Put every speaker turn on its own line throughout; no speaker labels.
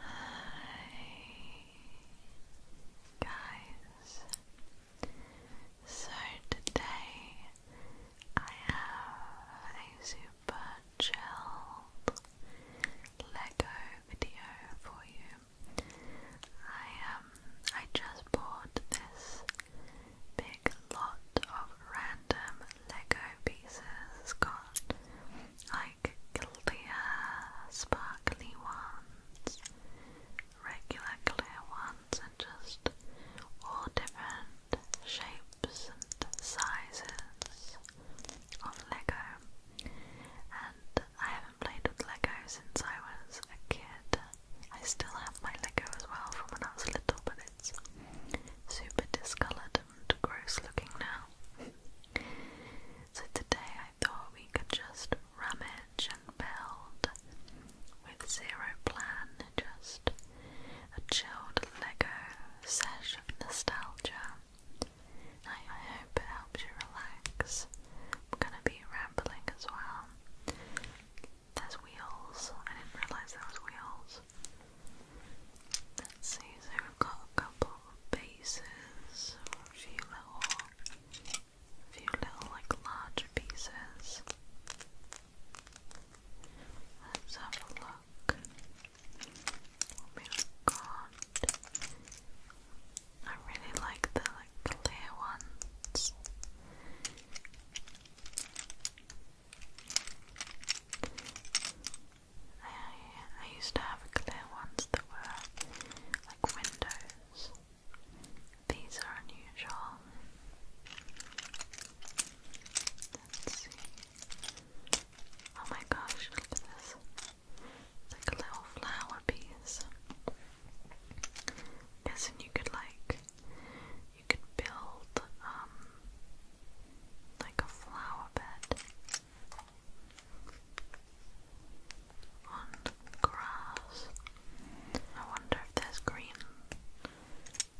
Hi guys. So today I have a super chilled Lego video for you. I um I just bought this big lot of random Lego pieces. it clear uh, sparkly ones, regular clear ones, and just all different shapes and sizes of Lego. And I haven't played with Lego since I was a kid. I still have my Lego as well from when I was little, but it's super discoloured and gross looking now. So today I thought we could just rummage and build with zero plan, just a chilled Lego sesh of nostalgia. I, hope it helps you relax. I'm gonna be rambling as well. There's wheels. I didn't realise there was wheels. Let's see, so got a couple bases a few little few little like larger pieces. Let's have a look. What we've I really like the clear ones. I, I used to have clear ones that were like windows. These are unusual. Let's see. Oh my gosh, look at this. like a little flower piece. Guessing you could like you could build um like a flower bed on grass. I wonder if there's green,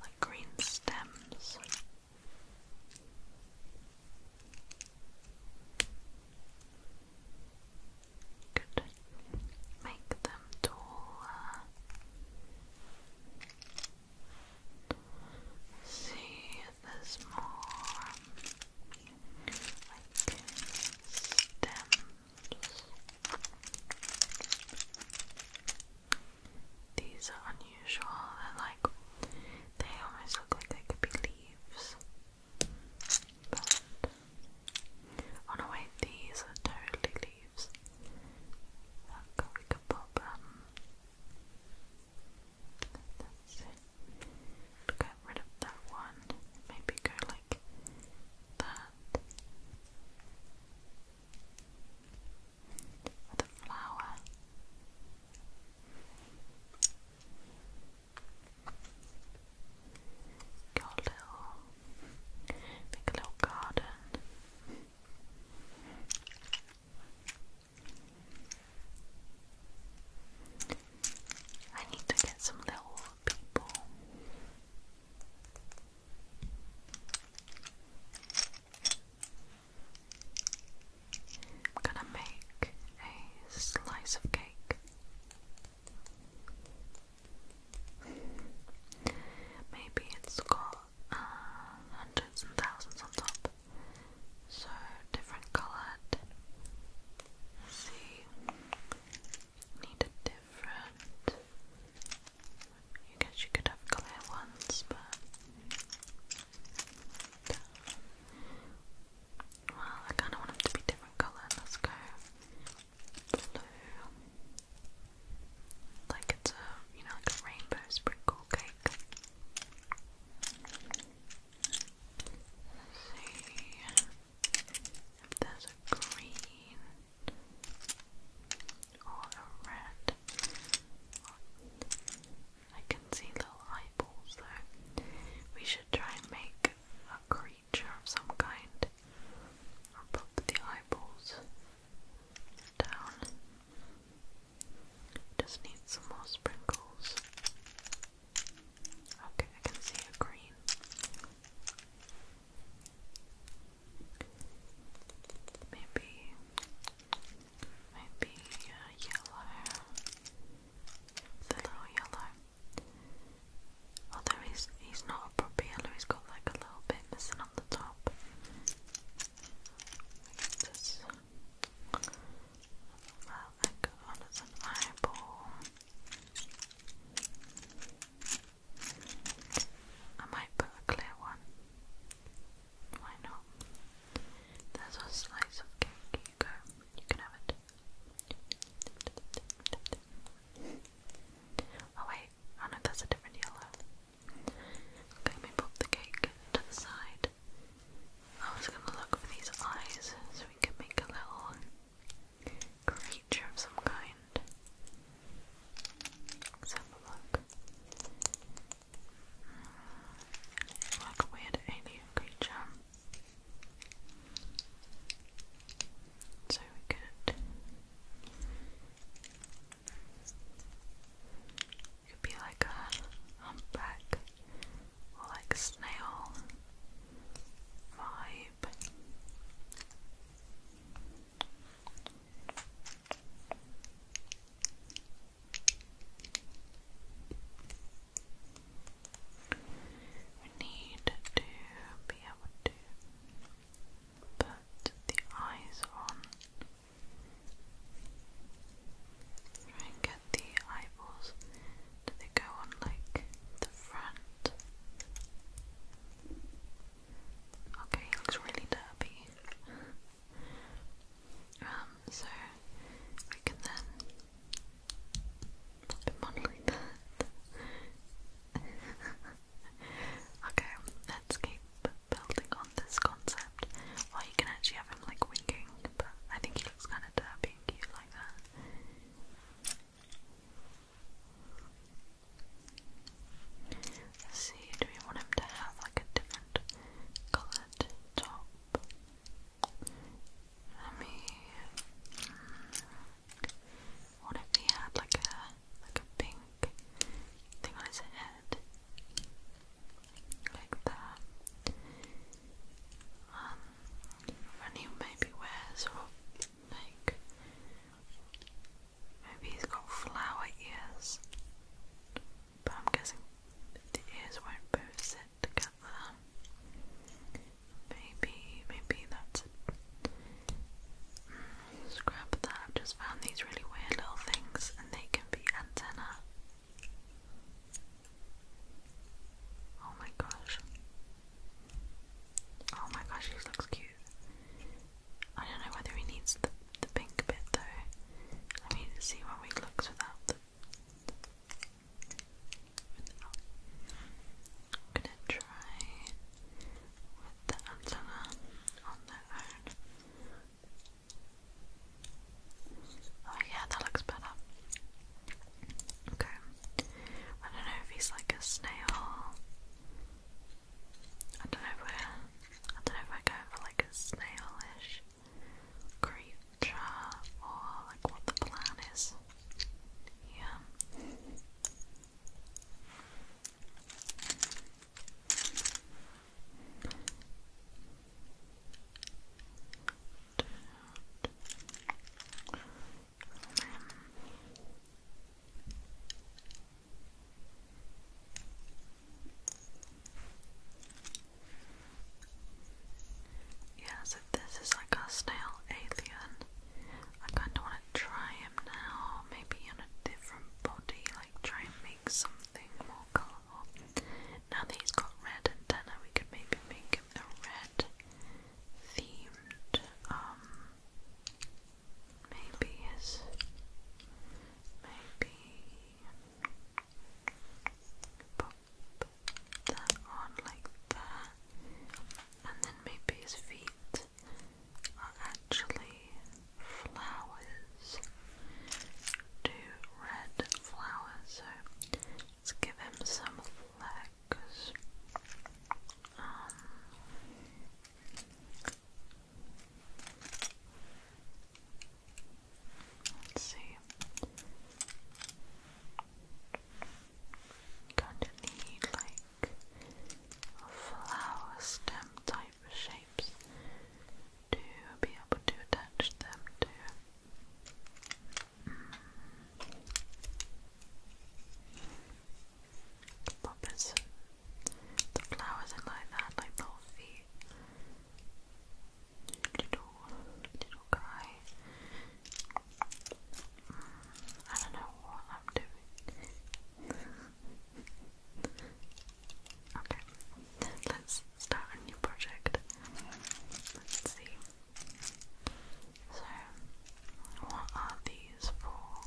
like green stems. Could make them taller. see this more like stems. These are unusual. and like they almost look like they could be leaves. But oh no wait, these are totally leaves. Look, we could pop um that's it. Get rid of that one. Maybe go like that. With a flower. Got little, make a little garden. I need to get some little people. I'm gonna make a slice of cake. Maybe it's got uh, hundreds and thousands on top so different colored. See, need a different. I guess you could have clear ones, but well, I kind of want them to be different color. Let's go blue, like it's a you know like a rainbow sprinkle cake see if there's a green or a red. I can see little eyeballs though. We should try and make a creature of some kind. Or pop the eyeballs down. Just need some more sprinkles. Okay, I can see a green. Maybe, maybe uh, yellow. The little yellow. Although he's he's not a proper yellow, he's got like a little bit missing on the top. Just Allow that go on as an eyeball. I might put a clear one. Why not? There's a slice of cake. You go. You can have it. Oh wait. Oh no, that's a different yellow. Okay, we put the cake to the side. I was gonna look for these eyes so we can make a little creature of some kind. Let's have a look. Hmm, like weird alien creature. So we could you could be like a humpback or like a snail vibe. need to be able to put the eyes on Try and get the eyeballs. Do they go on like the front? Okay, looks really derpy. um, so we can then pop him okay, let's keep building on this concept or you can actually have him like winking, but I think he looks kind of derpy and cute like that. see, do we want him to have like a different coloured top? Let me. Hmm, what if he had like a like a pink thing on his head, like that? um, when he maybe wears or like maybe he's got flower ears but I'm guessing the ears won't both sit together maybe, maybe that's it mm, scrap that, I've just found these really weird little things and they can be antenna Oh my gosh. Oh my gosh, he looks cute. I don't know whether he needs the, the pink bit though. Let me see how he looks Without. I'm gonna try with the antenna on their own. Oh yeah, that looks better. Okay. I don't know if he's like a snail. I don't know if we I don't know if we're for like a snailish creature or like what the plan is. Yeah out. Yeah, this is like our snail alien. I kinda wanna try him now, maybe in a different body, like try and make something more colourful. Now that got red antenna, we could maybe make him a red themed, um, maybe his, maybe pop that on like that, and then maybe his feet are actually flowers two red flowers, so let's give him some flags. Um, let's see. Kind of need like flower stem type shapes to be able to attach them to Poppers. The flowers are like that, like little feet. Little, little guy. Mm, I don't know what I'm doing. okay, let's start a new project. Let's see. So, what are these for?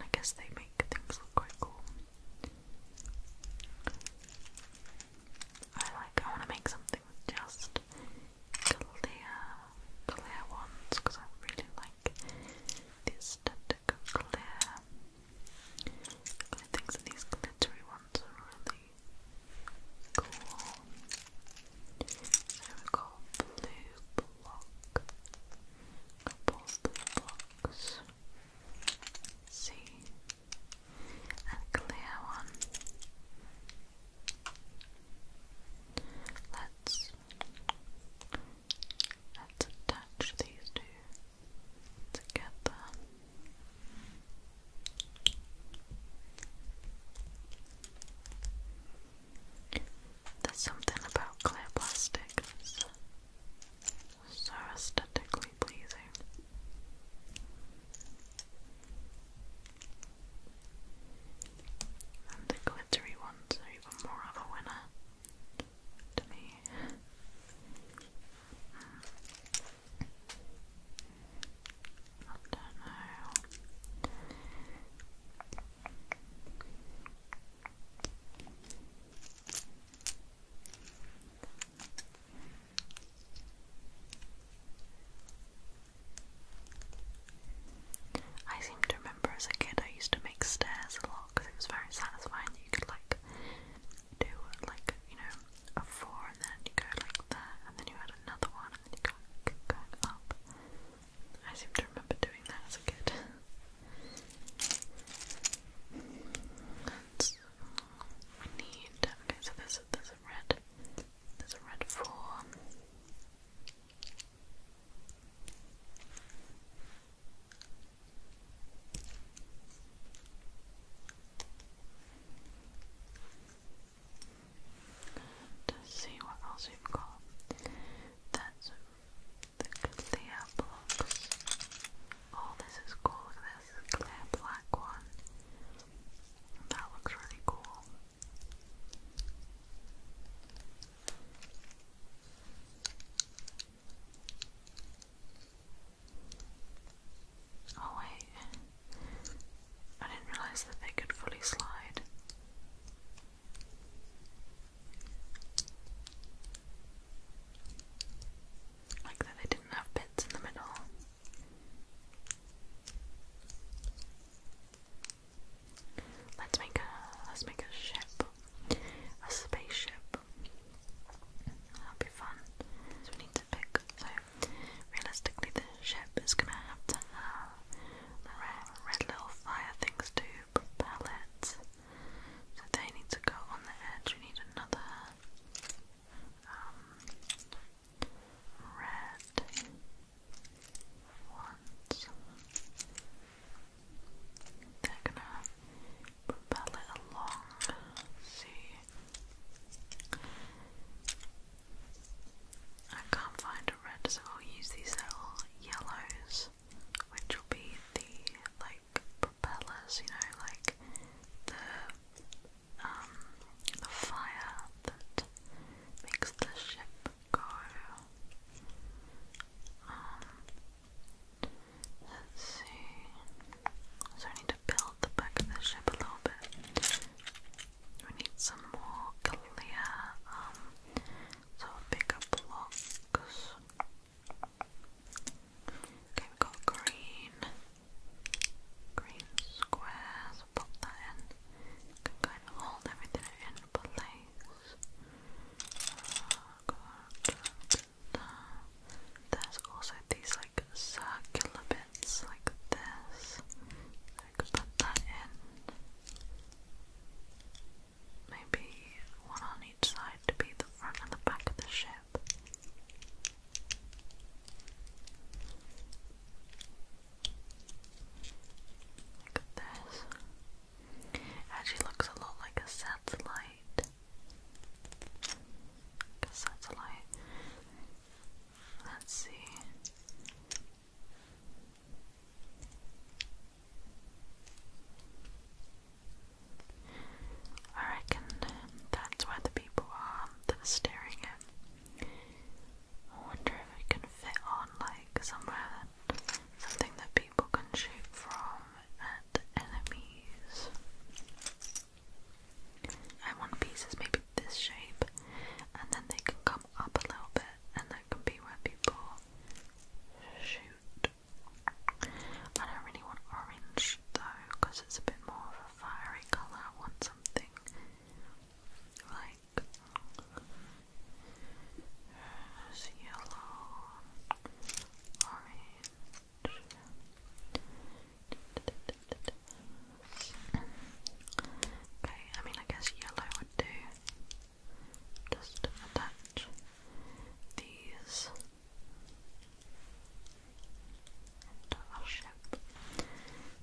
I guess they make things look quite cool. I like, I want to make something with just clear, clear ones because I really like the aesthetic clear. I think these glittery ones are cool. Then we've got blue block. Couple blocks. see. A clear one. Let's let's attach these two together. There's something about clear plastic so aesthetically pleasing. And the glittery ones are even more of a winner to me. I don't know. I seem to remember as a kid I used to make stairs a lot because it was very satisfying you could like do like you know a four, and then you go like that, and then you add another one, and you go up. I seem to remember doing that as a kid. we need okay, so there's a, red, there's red four. Let's see what else we've got. That's the clear blocks. Oh, this is cool. this clear black one. That looks really cool. Oh wait, I didn't realize that they could fully slide. Like that they didn't have bits in the middle. Let's make a let's make a ship. A spaceship. That'll be fun. So we need to pick so Realistically, the ship is gonna have to have the red, little fire things to propel it. So they need to go on the edge. We need another um, red ones. They're gonna propel it along. see. I can't find a red, so I'll use these little yellows, which will be the like propellers, you know, like the um, the fire that makes the ship go. Um, let's see. So I need to build the back of the ship a little bit. We need some more clear, um, sort of bigger blocks. Okay, we've got green, green squares, pop that in. can kind of hold everything in place. Uh, there's also these like circular bits it's like this. I could put that in. Maybe one on each side to be the front and the back of the ship. Look this. actually looks a lot like a satellite. a satellite. Let's see. I reckon that's where the people are staring at. wonder if it can fit on like somewhere something that people can shoot from at enemies. I want pieces maybe this shape, and then they can come up a little bit, and that can be where people shoot. I don't really want orange though, because it's a bit more of a fiery colour. I want something like yellow, orange. Okay, I mean, I guess yellow would do. Just attach these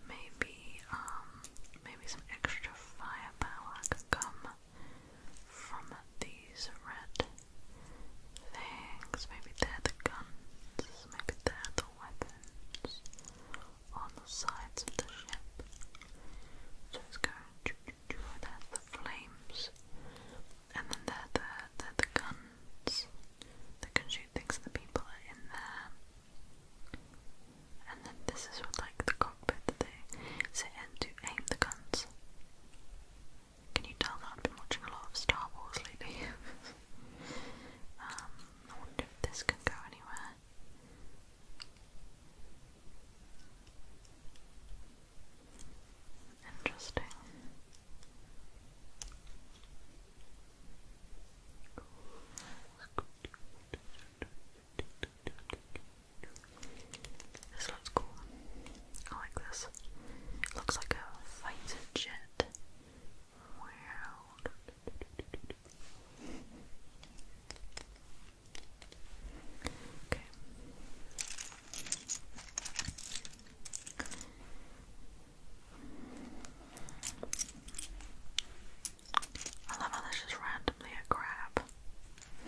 Maybe, um, maybe some extra firepower could come from these red things. Maybe they're the guns guess maybe they the weapons on the sides of the ship. So it's going there's the flames, and then they the, they the guns that can shoot things at the people in there. And then this is what, like the cockpit that they sit in to aim the guns. Can you tell that I've been watching a lot of Star Wars lately? Um, I wonder if this can go anywhere. Interesting. This looks cool. I like this. It looks like a fighter jet world. Okay. I love how this is randomly a crab.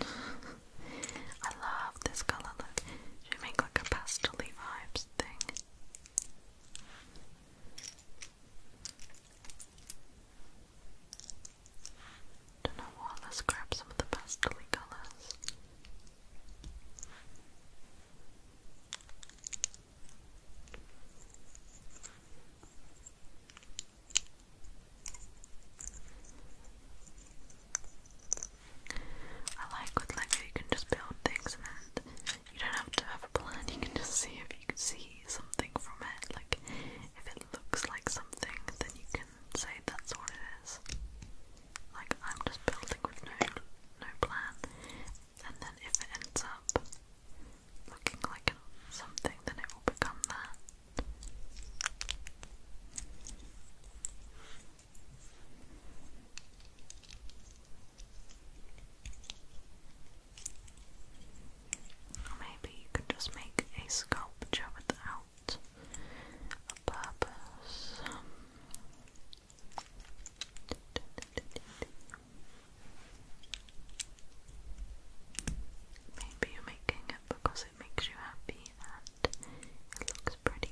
I love this color look. Should make like a pastel vibes thing? Don't know what, let's grab some of the pastel colours. I like with Lego you can just build things and you don't have to have a plan, you can just see if you can see something from it. Like, if it looks like something, then you can say that's what it is. Like, I'm just building with no, no plan. And then if it ends up looking like something, then it will become that. Maybe you could just make a sculpture without a purpose. Maybe you're making it because it makes you happy and it looks pretty.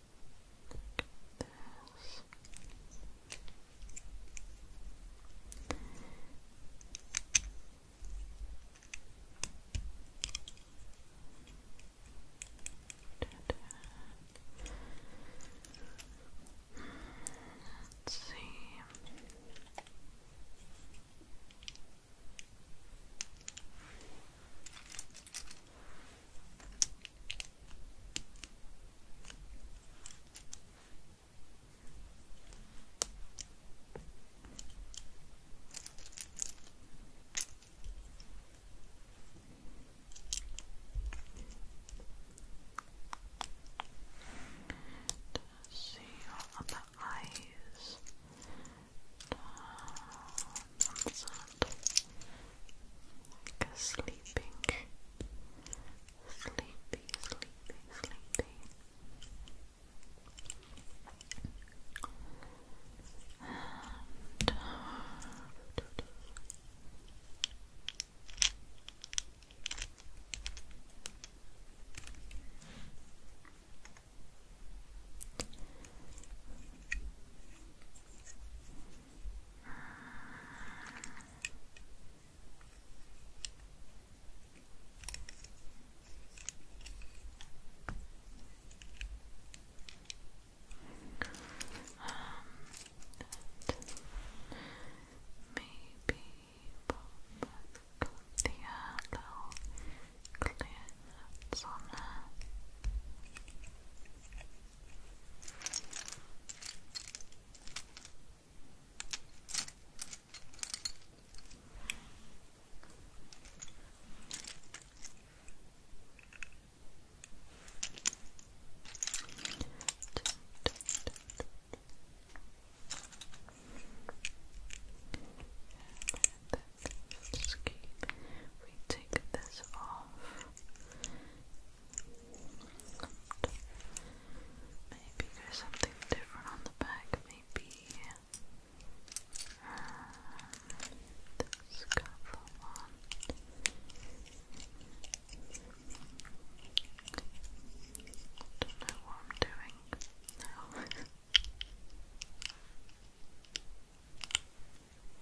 Look at this. Let's see see your upper eyes down on sleeping, sleepy, sleepy, sleepy. Uh, maybe pop the yellow clear on and then we take this off. Maybe there's something different on the back, maybe uh, this cover one. Don't know what I'm doing now.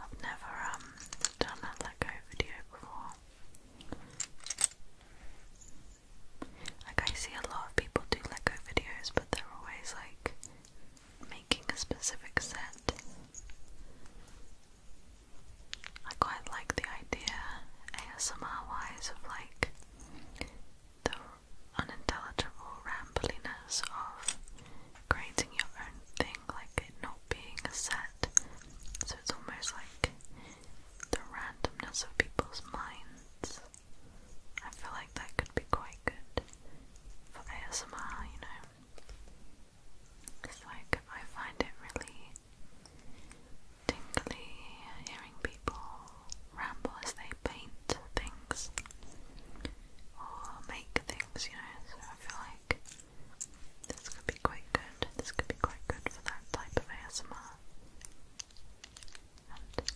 I've never um done a let go video before. Like I see a lot of people do let go videos but they're always like making a specific set. I quite like the idea ASMR wise of like the unintelligible rambliness of creating your own thing, like it not being a set. So it's almost like the randomness of people's minds. I feel like that could be quite good for ASMR, you know. It's like I find it really tingly hearing people ramble as they paint things or make things things, you know, so I feel like this could be quite good. This could be quite good for that type of ASMR. And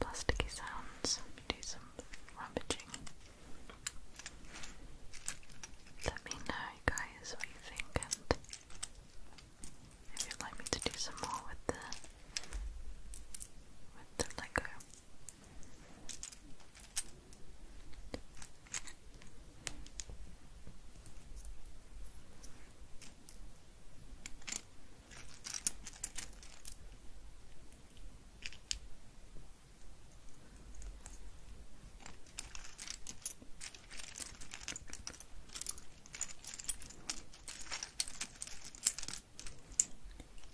plasticky sounds, do some rummaging. Let me know, guys, what you think, and if you'd like me to do some more with the with the Lego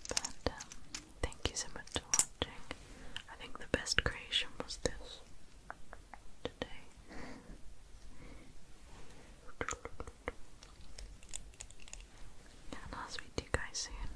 but um, Thank you so much for watching. I think the best creation was this today. And I'll speak you guys soon.